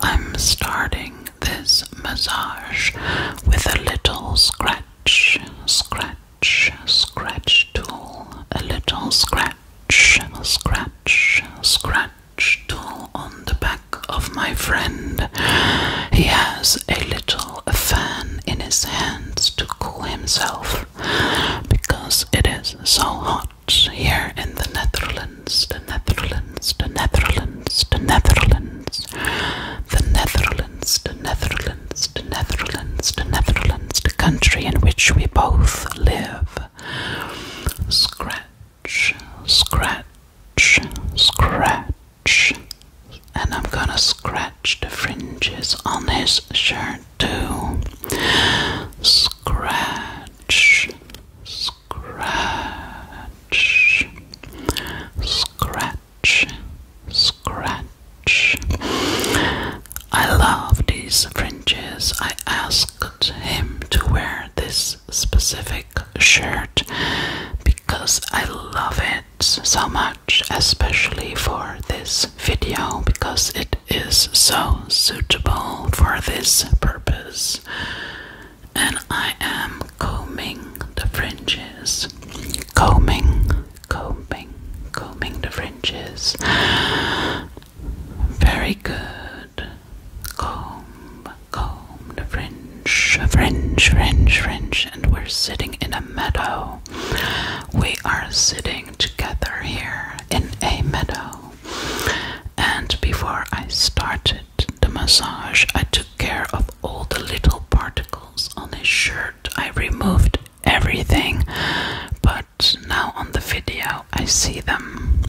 I'm starting this massage with a little scratch, scratch, scratch tool, a little scratch, a scratch, scratch tool on the back of my friend. He has a little fan in his hands to cool himself because it is so hot here in the Netherlands, the Netherlands, the Netherlands, the Netherlands, the Netherlands, the Netherlands, the Netherlands, the Netherlands, the country in which we both live. Scratch, scratch, scratch, and I'm gonna scratch the fringes on his shirt too. scratch scratch, scratch, scratch. I love these fringes. I asked him to wear this specific shirt because I love it so much, especially for this video, because it is so suitable for this purpose and I am combing the fringes. Combing, combing, combing the fringes. Very good. Comb, comb the fringe, fringe, fringe, fringe. And we're sitting in a meadow. We are sitting together here in a meadow and before I started the massage, I took care of all the little particles on his shirt. I removed everything, but now on the video, I see them.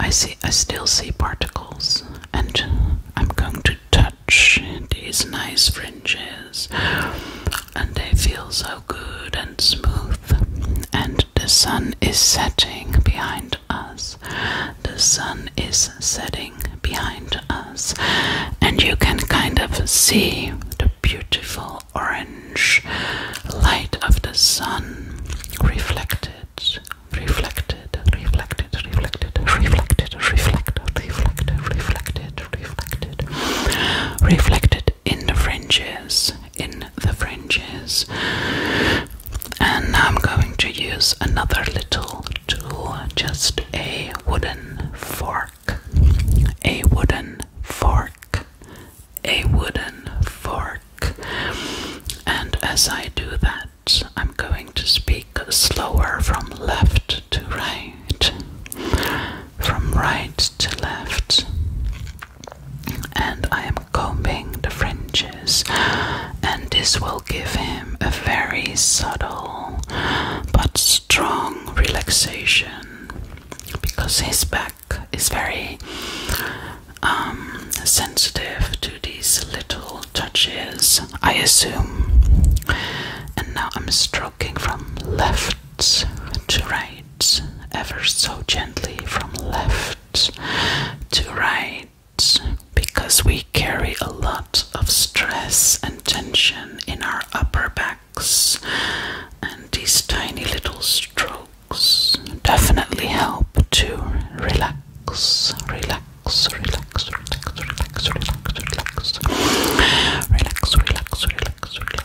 I see, I still see particles, and I'm going to touch these nice fringes, and they feel so good and smooth north, and the sun is setting behind us. The sun is setting behind us, and you can kind of see the beautiful orange light of the sun reflected. Reflected, reflected, reflected, reflected, reflected, reflected, reflected, reflected, reflected in the fringes in the fringes. And I'm going to use another little tool, just a wooden fork. A wooden fork. A wooden fork. And as I do that, I'm going to speak slower from left to right. From right to left and I am combing the fringes, and this will give him a very subtle but strong relaxation because his back is very um, sensitive to these little touches, I assume. And now I'm stroking from left to right ever so gently from left to right because we carry a lot of stress and tension in our upper backs, and these tiny little strokes definitely help to relax, relax, relax, relax, relax, relax, relax, relax, relax, relax, relax,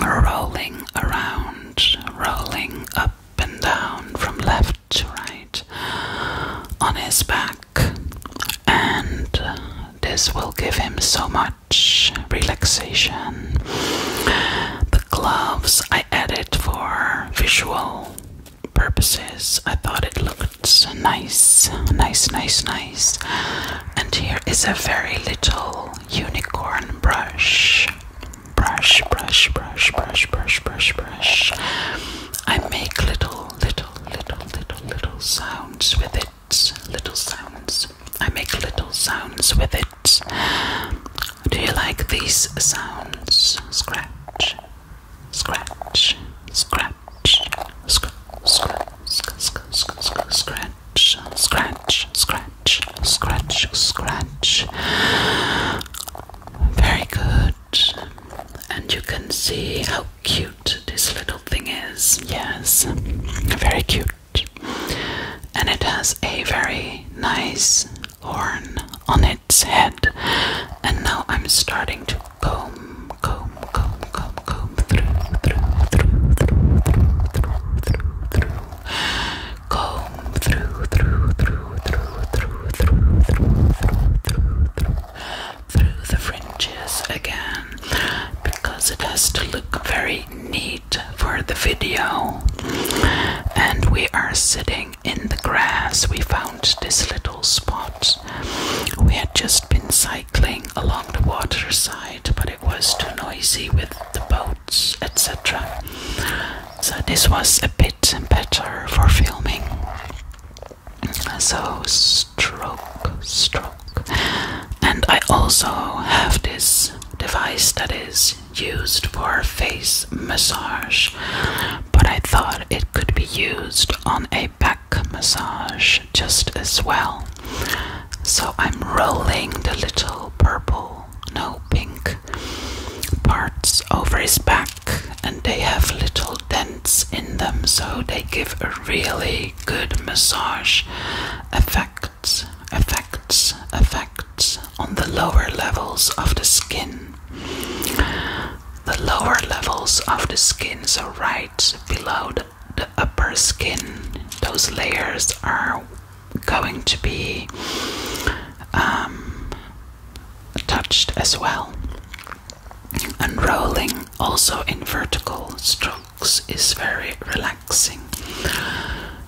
rolling around, rolling up and down from left to right on his back, and this will give him so much relaxation. The gloves I added for visual purposes, I thought it looked nice, nice, nice, nice. And here is a very little unicorn brush. Brush, brush, brush, brush, brush, brush, brush. I make little, little, little, little, little sounds with it. Little sounds. I make little sounds with it. Do you like these sounds? Scratch, scratch, scratch, scratch, scratch, scratch, scratch, scratch, scratch, scratch, scratch, scratch, scratch, Very good. And you can see how cute this little thing is. Yes, very cute. And it has a very nice horn on its head. And now I'm starting to comb, comb, comb, comb, comb comb through, through, through, through, through, through, through, through, through, through, through the fringes again because it has to look very neat for the video. And we are sitting in the grass. We found this little spot. We had just been cycling along the waterside, but it was too noisy with the boat etc. So, this was a bit better for filming. So, stroke, stroke. And I also have this device that is used for face massage, but I thought it could be used on a back massage just as well. So I'm rolling the little purple, no pink parts over his back, and they have little dents in them, so they give a really good massage effects, effects, effects on the lower levels of the skin. The lower levels of the skin, so right below the the upper skin, those layers are going to be um, touched as well. Unrolling also in vertical strokes is very relaxing.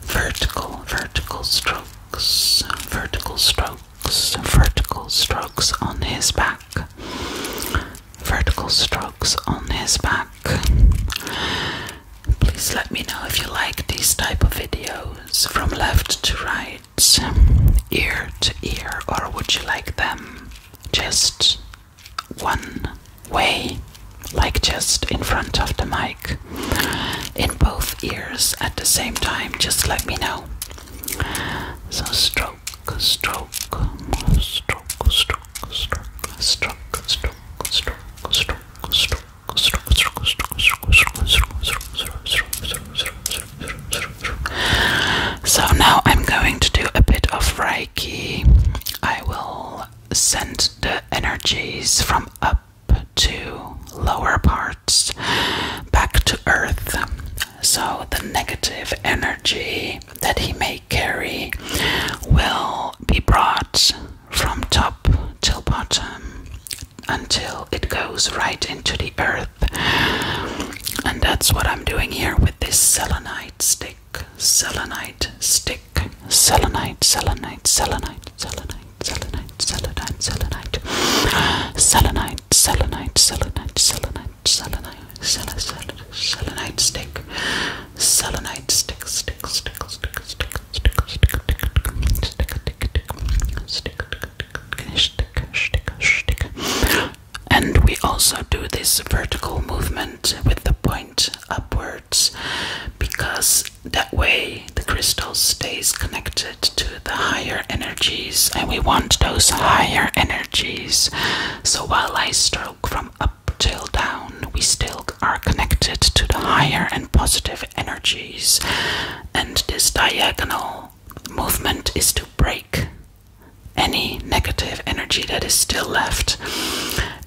Vertical, vertical strokes, vertical strokes, vertical strokes on his back, vertical strokes on his back. Please let me know if you like these type of videos from left to right, ear to ear, or would you like them just one way, like just in front of the mic, in both ears at the same time? Just let me know. So, stroke, stroke, stroke, stroke so now I'm going to do a bit of Reiki. I will send the energies from up to lower parts back to earth. So the negative energy that he may carry will be brought from top till bottom until it goes right into the earth. And that's what I'm doing here with this selenite stick. Selenite stick. Selenite, selenite, selenite, selenite, selenite, selenite, selenite. Selenite, selenite, selenite, selenite, selenite, selenite, selenite stick selenite stick, stick, stick, stick, stick, stick, stick, stick, stick, stick, stick, and we also do this vertical movement with the point upwards because that way the crystal stays connected to the higher energies and we want those higher energies so while I stroke from up till down, we still are connected to the higher and positive energies, and this diagonal movement is to break any negative energy that is still left.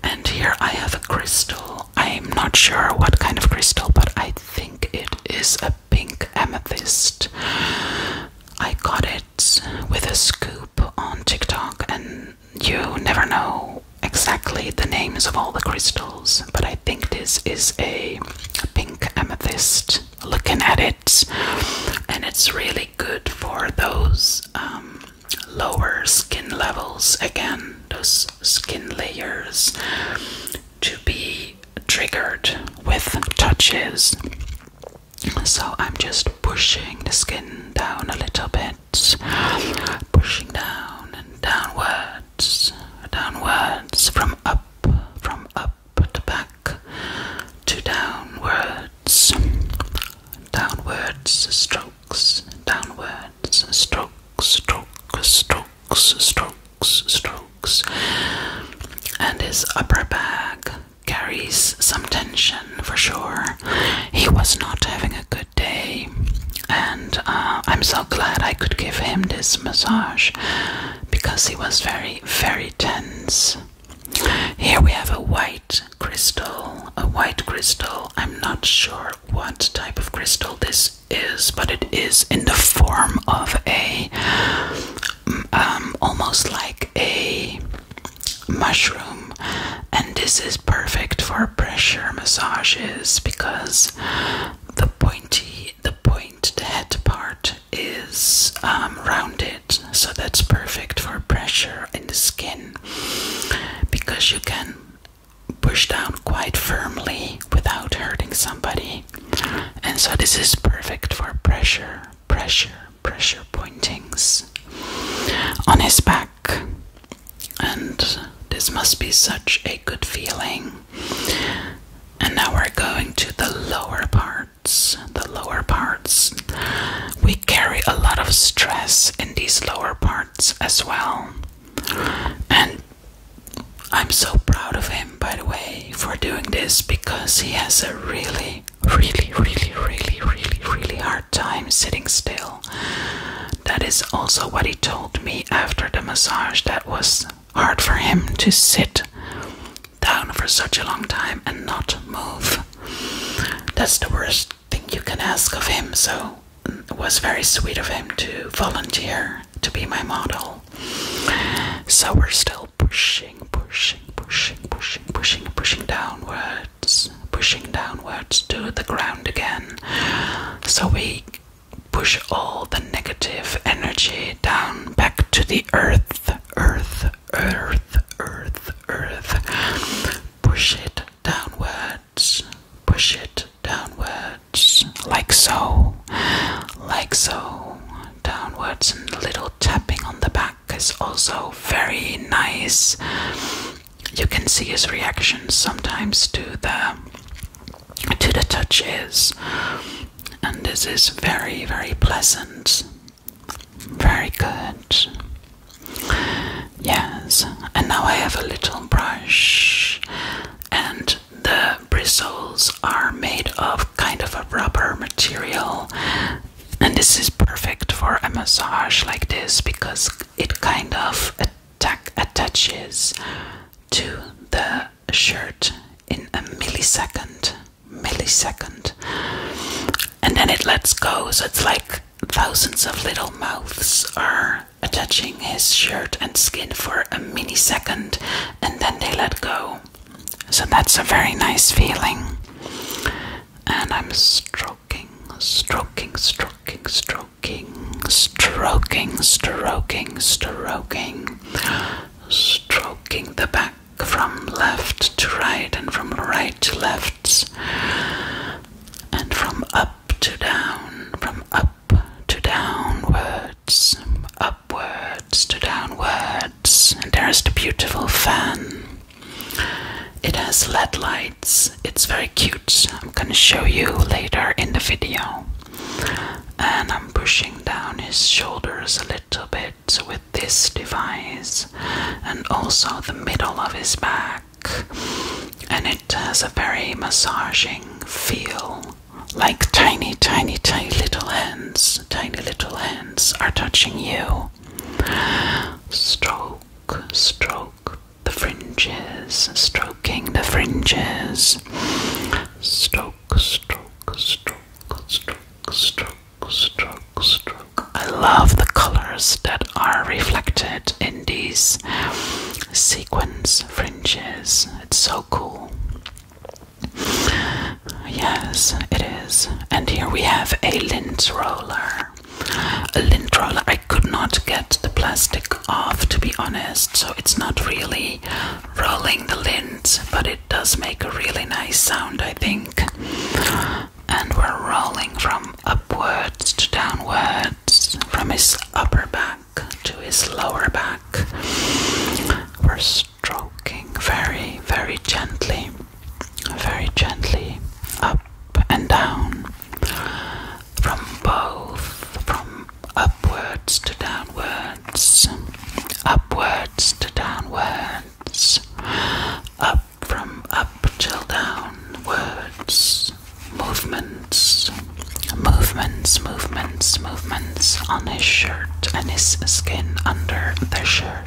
And here I have a crystal. I'm not sure what kind of crystal, but I think it is a pink amethyst. I got it with a scoop on TikTok and you never know exactly the names of all the crystals, but I think this is a pink amethyst looking at it, and it's really good for those um, lower skin levels again, those skin layers to be triggered with touches. So I'm just pushing the skin down a little bit pushing down and downwards, downwards, from up, from up to back, to downwards, downwards strokes, downwards strokes, strokes, strokes, strokes, strokes, and his upper back carries some tension for sure. He was not having a good day, and uh, I'm so glad I could give him this massage because he was very, very tense. Here we have a white crystal. A white crystal. I'm not sure what type of crystal this is, but it is in the form of a um, almost like a mushroom, and this is perfect for pressure massages because the pointy, the point, the head part is um, rounded, so that's perfect for pressure in the skin because you can push down quite firmly without hurting somebody, and so this is perfect for pressure, pressure pressure pointings on his back. And this must be such a good feeling. And now we're going to the lower parts. The lower parts. We carry a lot of stress in these lower parts as well. And I'm so proud of him, by the way, for doing this because he has a really really, really, really, really, really, hard time sitting still. That is also what he told me after the massage. That was hard for him to sit down for such a long time and not move. That's the worst thing you can ask of him, so it was very sweet of him to volunteer to be my model. So we're still pushing, pushing, pushing, pushing, pushing, pushing downwards was pushing downwards to the ground again. So we push all the negative energy down back to the earth, earth, earth, earth, earth. Push it downwards, push it downwards, like so, like so, downwards, and little tapping on the back is also very nice. You can see his reactions sometimes to the to the touches, and this is very very pleasant, very good. Yes, and now I have a little brush, and the bristles are made of kind of a rubber material and this is perfect for a massage like this because it kind of attack attaches to the shirt in a millisecond. Millisecond. And then it lets go, so it's like thousands of little mouths are attaching his shirt and skin for a millisecond, and then they let go. So that's a very nice feeling and I'm stroking, stroking, stroking, stroking, stroking, stroking, stroking, stroking the back from left to right and from right to left, and from up to down, from up to downwards, upwards to downwards and there is the beautiful fan. It has LED lights, it's very cute. I'm gonna show you later in the video. And I'm pushing down his shoulders a little bit with this device, and also the middle of his back. And it has a very massaging feel. Like tiny, tiny, tiny little hands, tiny little hands are touching you stroke, stroke the fringes, stroking the fringes. Stroke, stroke, stroke, stroke, stroke, stroke, stroke. I love the colors that are reflected in these sequence fringes. It's so cool. Yes, it is. And here we have a lint roller. A lint roller. I could not get the plastic off, to be honest, so it's not really rolling the lint, but it does make a really nice sound, I think. And we're rolling from upwards to downwards, from his upper back to his lower back. We're stroking very, very gently very gently up and down from both from upwards to downwards upwards to downwards up from up till downwards movements movements movements movements on his shirt and his skin under the shirt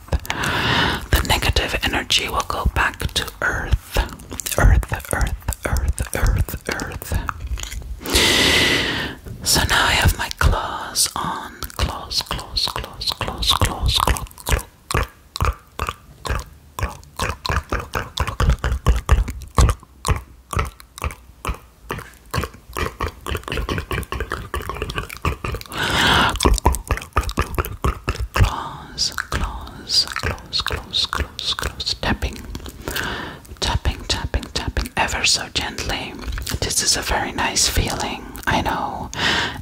The negative energy will go back to earth. Earth, earth, earth, earth, earth. So now I have my claws on. Claws, claws, claws, claws, claws, claws, claws claws, claws, claws, claws, claws, claws, tapping, tapping, tapping, tapping, ever so gently. This is a very nice feeling, I know.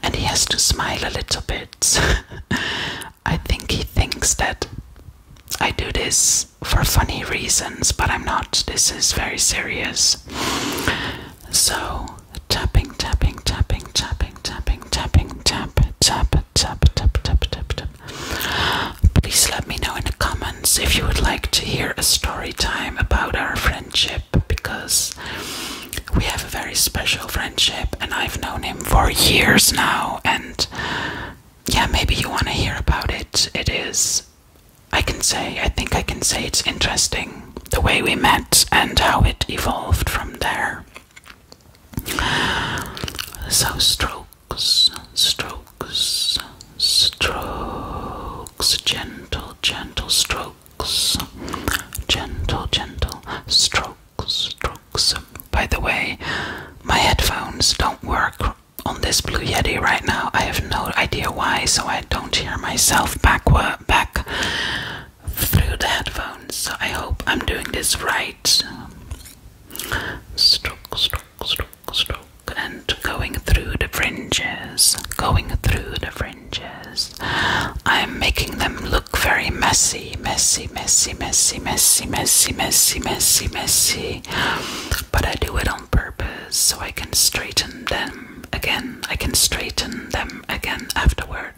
And he has to smile a little bit. I think he thinks that I do this for funny reasons, but I'm not. This is very serious. So, tapping, tapping, tapping, tapping, tapping, tapping, tap, tap, tap, tap, tap, tap, tap. Please let me know in the comments if you would like to hear a story time about our friendship because we have a very special friendship and I've known him for years now and yeah, maybe you want to hear about it. It is I can say, I think I can say it's interesting the way we met and how it evolved from there. So, strokes, strokes, strokes, gentle, gentle strokes, gentle, gentle strokes, strokes. By the way, my headphones don't work on this Blue Yeti right now. I have no idea why, so I don't hear myself backward back through the headphones. So I hope I'm doing this right. Stroke, stroke, stroke, stroke, and going through the fringes, going through the fringes. I'm making them look very messy, messy, messy, messy, messy, messy, messy, messy, messy. But I do it on purpose so I can straighten them again. I can straighten them again afterwards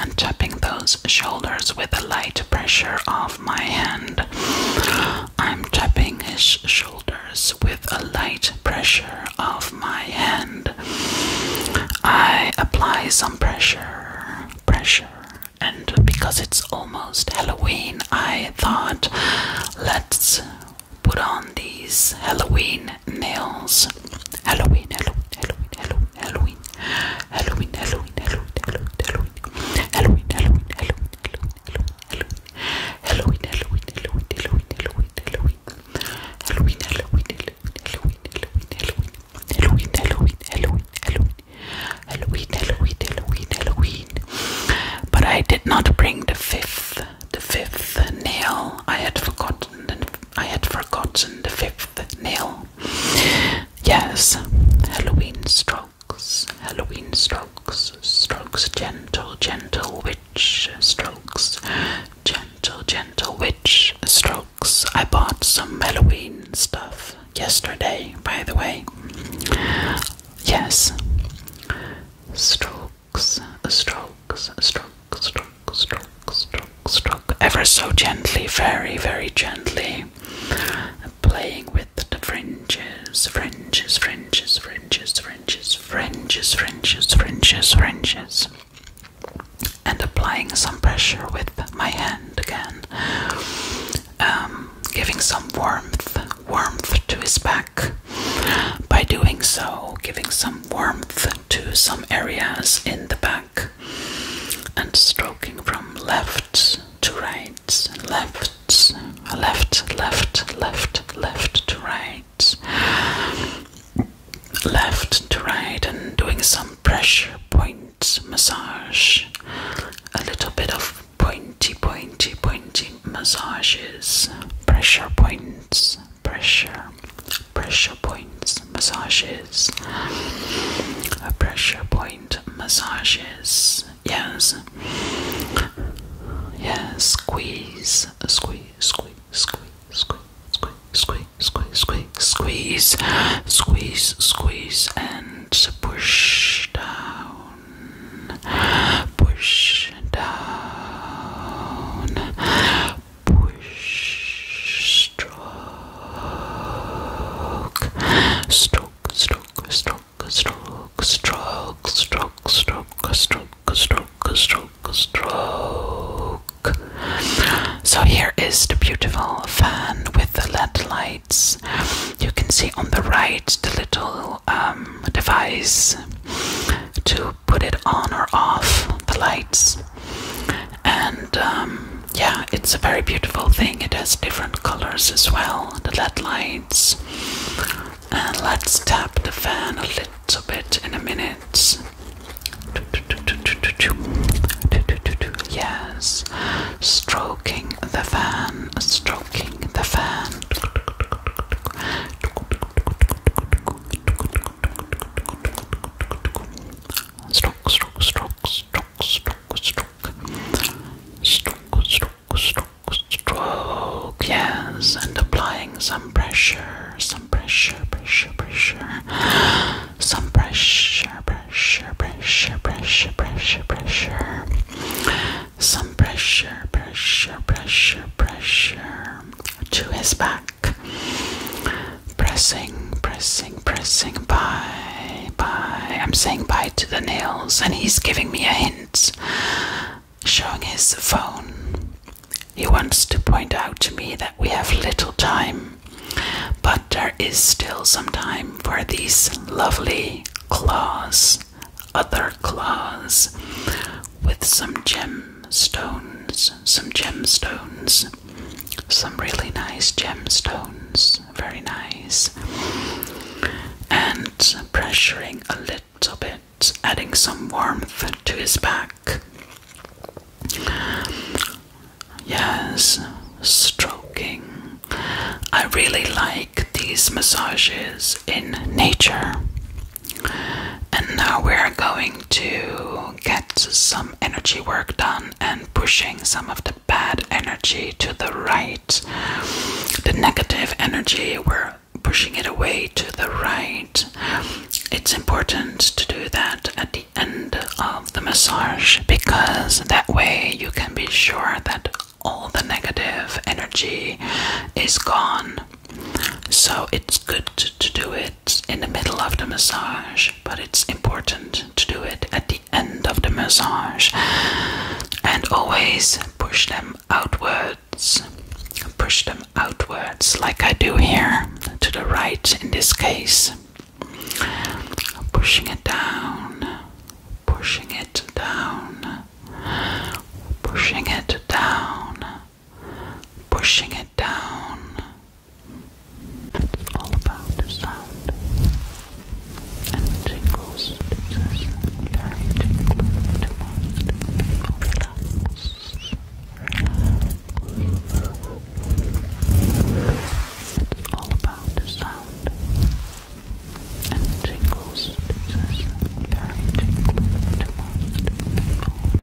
and tapping those shoulders with a light pressure of my hand. I'm tapping his shoulders with a light pressure of my hand. I apply some pressure, pressure, and because it's almost Halloween, I thought let's put on these Halloween nails. Halloween, Halloween, Halloween, Halloween, Halloween, Halloween, Halloween, Halloween, Halloween, Halloween, Halloween, Halloween, Halloween, Halloween, Halloween, Halloween, Halloween, Halloween, Halloween, Halloween. Halloween, Halloween, Halloween, Halloween, Halloween, Halloween, Halloween, Halloween, Halloween, Halloween, Halloween, Halloween, Halloween. But I did not bring the fifth, the fifth nail. I had forgotten, I had forgotten the fifth nail. Yes, Halloween strokes, Halloween strokes, strokes gentle, gentle witch strokes, gentle, gentle witch strokes. I bought some Halloween stuff yesterday, by the way. Yes, strokes, strokes, strokes, strokes stroke, stroke, stroke, ever so gently, very, very gently, playing with the fringes, fringes, fringes, fringes, fringes, fringes, fringes, fringes, fringes, and applying some pressure with my hand again, um, giving some warmth, warmth to his back. By doing so, giving some warmth to some areas in the back and stroking from left to right, left, left, left, left, left to right, left to right, and doing some pressure point massage, a little bit of pointy, pointy, pointy massages, pressure points, pressure pressure points massages. A pressure point massages. Yes. Yes. Squeeze. Squeeze. Squeeze. Squeeze. Squeeze. Squeeze. Squeeze. Squeeze. Squeeze. Squeeze. Squeeze. And push down. Push down stroke, stroke, stroke, stroke, stroke, stroke, stroke, stroke, stroke, stroke, stroke, So here is the beautiful fan with the LED lights. You can see on the right the little um, device to put it on or off the lights. And um, yeah, it's a very beautiful thing. It has different colors as well, the LED lights. And let's tap the fan a little bit in a minute. Yes, stroking the fan, stroking the fan stroke, stroke, stroke, stroke, stroke, stroke, stroke, stroke, stroke, stroke, yes, and applying some pressure, some pressure, pressure, pressure, some pressure, pressure, pressure, pressure, pressure, pressure, some pressure, pressure, pressure, pressure to his back. Pressing, pressing, pressing. Bye, bye. I'm saying bye to the nails, and he's giving me a hint, showing his phone. He wants to point out to me that we have little time, but there is still some time for these lovely claws, other claws, with some gems some stones, some gemstones, some really nice gemstones, very nice, and pressuring a little bit, adding some warmth to his back. Yes, stroking. I really like these massages in nature. And now we're going to get some energy work done and pushing some of the bad energy to the right. The negative energy, we're pushing it away to the right. It's important to do that at the end of the massage because that way you can be sure that all the negative energy is gone. So it's good to do it in the middle of the massage, but it's important to do it at the end of the massage and always push them outwards. Push them outwards, like I do here to the right in this case. Pushing it down, pushing it down, pushing it down pushing it down. It's all about the sound and tingles. It's very tingling tingles.